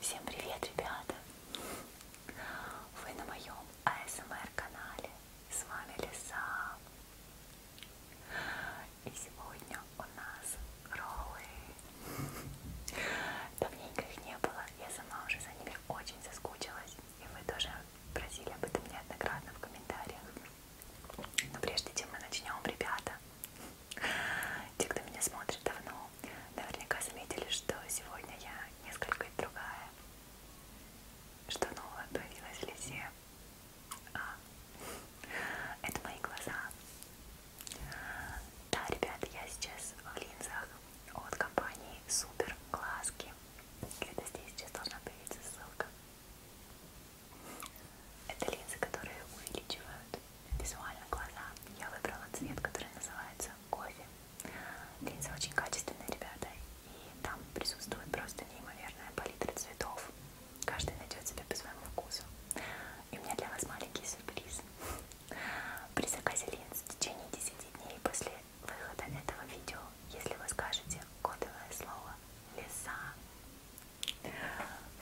Всем привет, ребята! Вы на моем АСМР канале. С вами Лиса. И сегодня у нас роллы. Давненько их не было. Я сама уже за ними очень соскучилась. И вы тоже просили об этом неоднократно в комментариях. Но прежде чем мы начнем, ребята, те, кто меня смотрит давно, наверняка заметили, что сегодня я несколько другая. Что новое появилось в лице? А, это мои глаза. Да, ребята, я сейчас в линзах от компании Супер Глазки. Где-то здесь сейчас должна появиться ссылка. Это линзы, которые увеличивают визуально глаза. Я выбрала цвет, который называется кофе. Линза очень качественная, ребята, и там присутствует просто неимоверная палитра цветов. Каждый найдет себя по своему вкусу. И у меня для вас маленький сюрприз. При заказе линз в течение 10 дней после выхода этого видео, если вы скажете кодовое слово «леса»,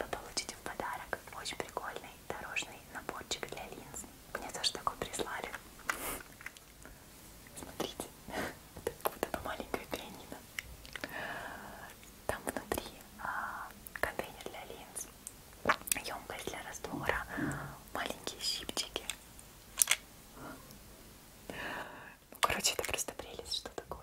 вы получите в подарок очень прикольный дорожный наборчик для линз. Мне тоже такой прислали. Смотрите, это как будто бы маленькое пианино. Там внутри а, контейнер для линз, емкость для раствора, маленькие щипчики. Ну, короче, это просто прелесть, что такое.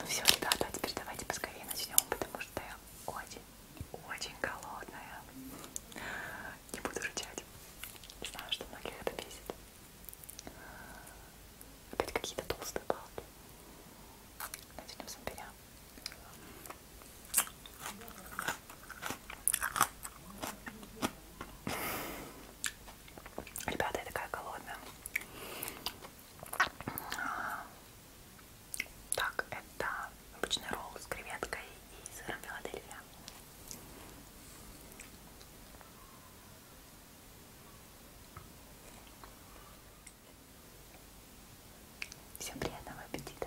Ну все, ребята, а теперь давайте поскорее начнем, потому что я очень-очень голодная. Не буду рычать. Знаю, что многих это бесит. Опять какие-то толстые палки. Начнем с имбиря. Ребята, я такая голодная. Так, это обычный ролл с креветкой и сыром Филадельфия. Всем приятного аппетита!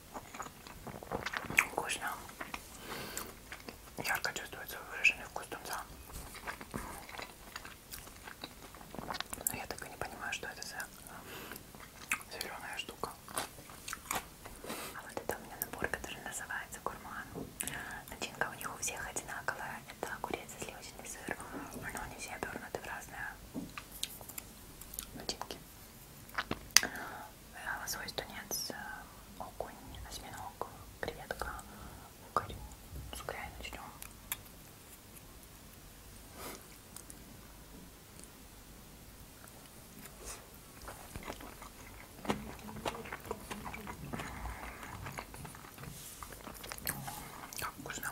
Вкусно. Ярко чувствуется выраженный вкус тунца. Но я так и не понимаю, что это за зеленая штука. А вот это у меня набор, который называется гурман. Начинка у них у всех одинаковая. Это огурец и сливочный сыр. Но они все обернуты в разные начинки лосось, э, тунец, э, окунь, осьминог, креветка, укорь. С укря и начнем. Как вкусно.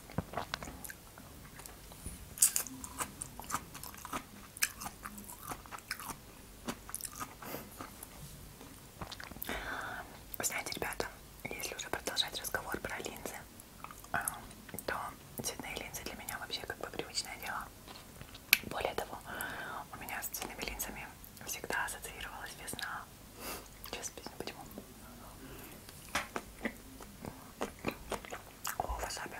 Вы знаете, ребята, если уже продолжать разговор про линзы, а, то цветные линзы для меня вообще как бы привычное дело. Более того, у меня с цветными линзами всегда ассоциировалась весна, Сейчас песня почему. О, васаби.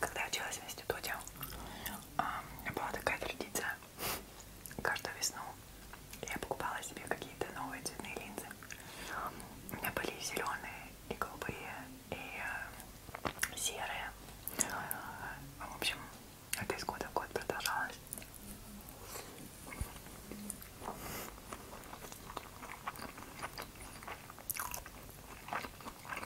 Когда я училась в институте, а, была такая традиция. Каждую весну я покупала себе какие-то новые цветные линзы. У меня были и зеленые, и голубые, и э, серые. В общем, это из года в год продолжалось.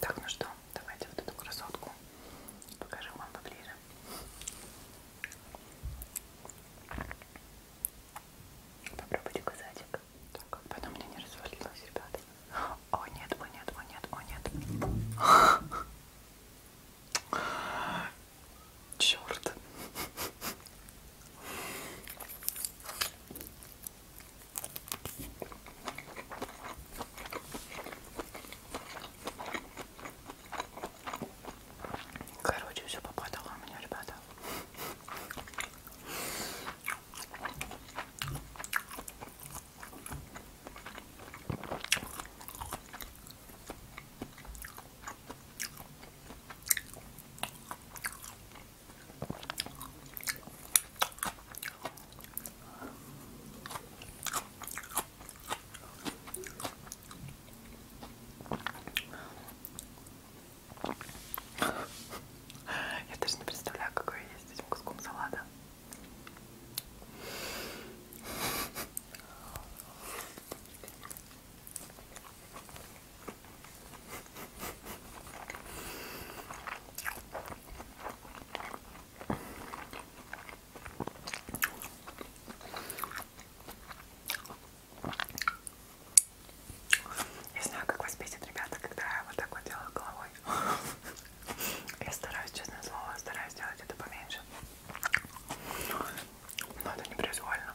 Так, ну что, давайте вот эту красотку покажу вам поближе. Попробуйте казатик. Так, как бы она мне не развалилась, ребята. О нет, о нет, о нет, о нет. Черт. Короче, все попадало у меня, ребята. Я даже не представляю, какой я есть с этим куском салата. Я знаю, как вас бесит, ребята, когда я вот так вот делаю головой. Я стараюсь, честное слово, стараюсь делать это поменьше. Но это непроизвольно.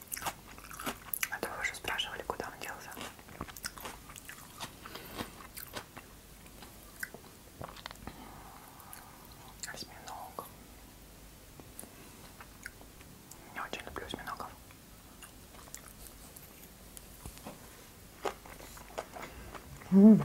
А то вы уже спрашивали, куда он делся. Осьминог. Я очень люблю осьминогов. Mm.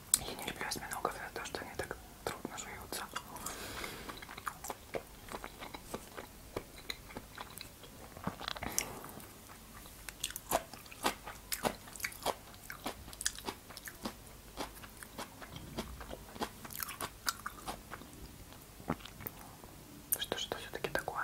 Я не люблю осьминогов за то, что они так трудно жуются. Что что все-таки такое?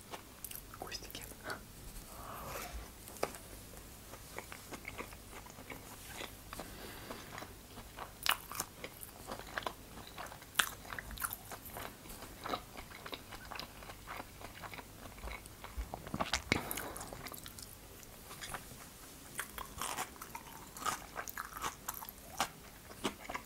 кустики.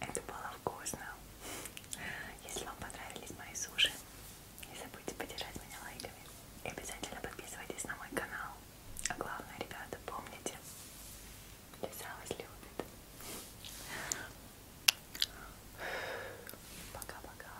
Это было вкусно. Если вам понравились мои суши, не забудьте поддержать меня лайками. И обязательно подписывайтесь на мой канал. А главное, ребята, помните, лиса вас любит. Пока-пока.